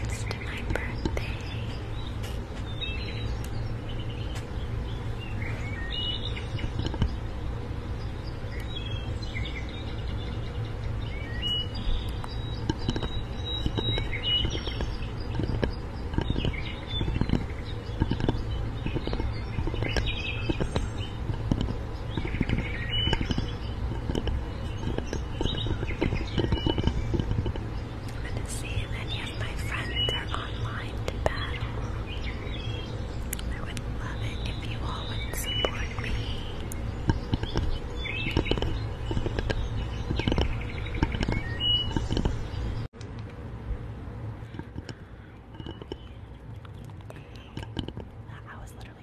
It's my birthday. I'm gonna see if any of my friends are online I would love it if you all would support me. I was literally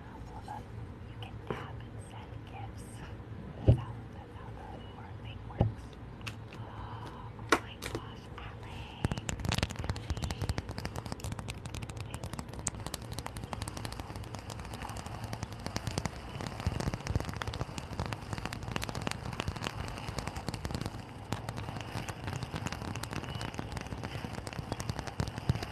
you can tap and send gifts. That's how, that's how the Aurora Oh, my gosh, LA. LA.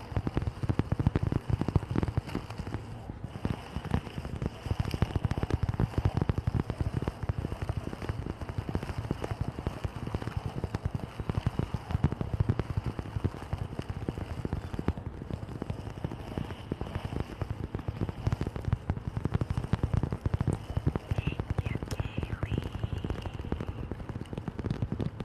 Thank you, Kaylee. I don't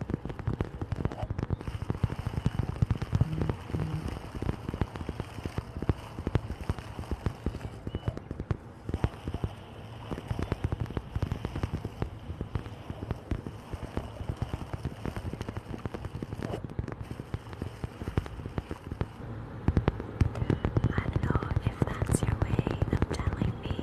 know if that's your way of telling me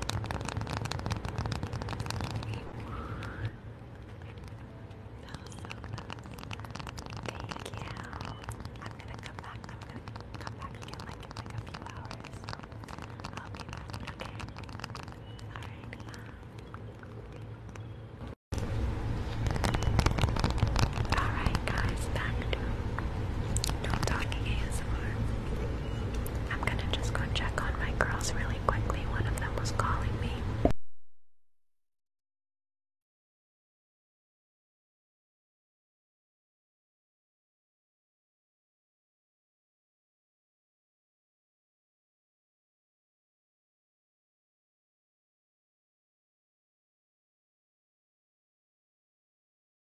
Thank you. I'm gonna come back. I'm come back again like a few hours. I'll be back, okay? Alright. Alright guys, back to talking ASMR. I'm gonna just go check on my girls really quickly. One of them was calling me.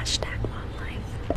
Hashtag wildlife.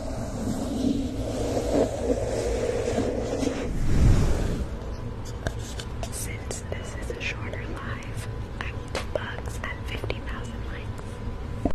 Since this is a shorter live, I will do bugs at 50,000 likes.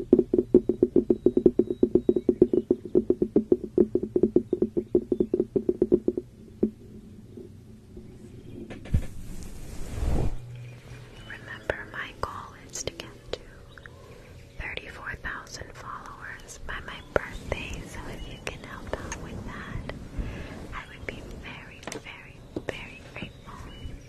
Remember, my goal is to get to 34,000 followers by my birthday, so if you can help out with that, I would be very, very, very grateful.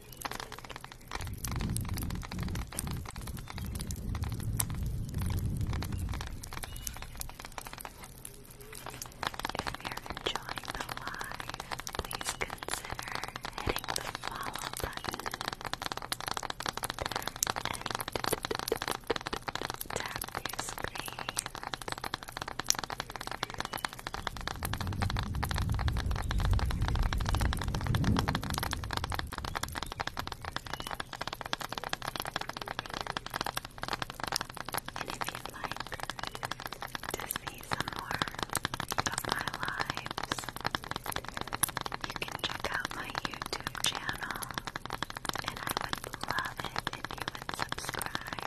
If you're enjoying the live, please consider hitting the follow button and tap your screen. And if you'd like to see some more of lives, you can check out my YouTube channel, and I would love it if you would subscribe.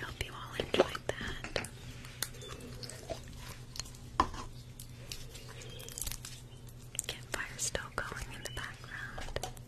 I hope you all enjoyed that. Get still going in the background.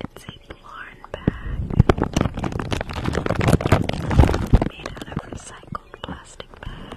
It's a Blarn bag made out of recycled plastic bags.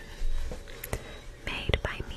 made by me.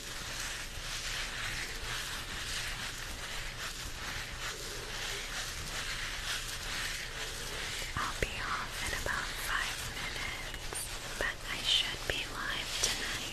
I'll be off in about five minutes, but I should be live tonight.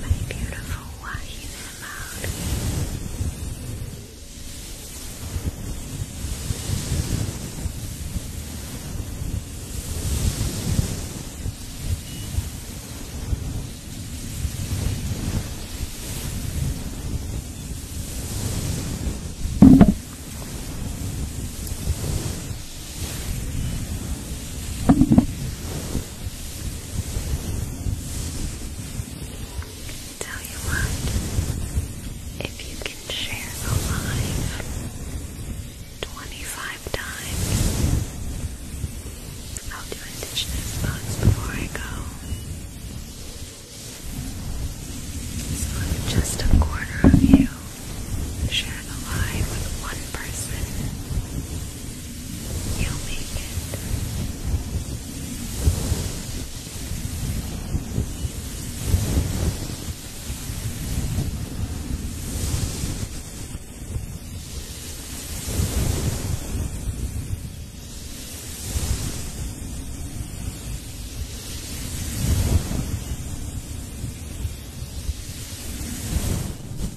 My beautiful wahine cloud. Tell you what, if you can share the live 25 times, I'll do indigenous bugs before I go. So if just a corner of you sharing the live with one person, You'll make it. You'll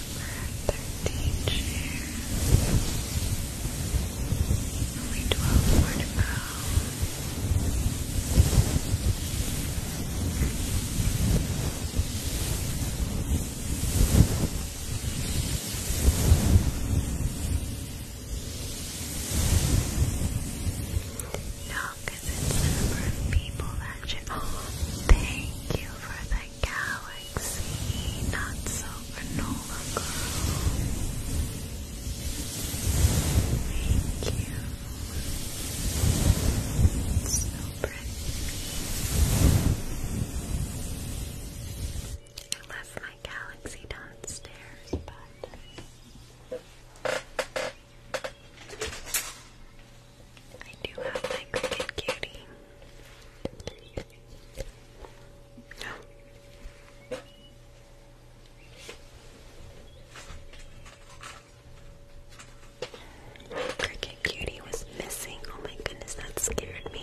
thirteen shares. Only twelve more to go. No, because it's the number of people that should. Oh, thank you for the galaxy, not supernova girl. Thank you. so pretty. I left my galaxy downstairs, but I do have my cricket cutie. No. Cricket Cutie was missing. Oh my goodness, that scared me.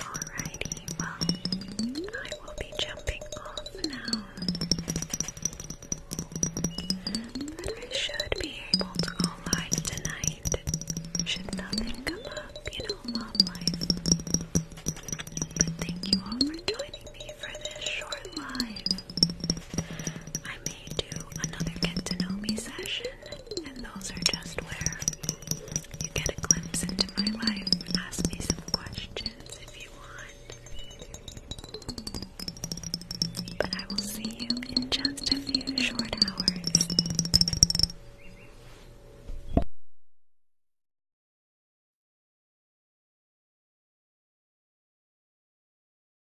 Alrighty, well, I will be jumping off now. But I should be able to go live tonight. Should nothing come up, you know, mom life. But thank you all for joining me for this short live. I may do another get to know me session, and those are just where you get a glimpse into my life. Ask me some questions if you want. But I will see you in just a few short hours.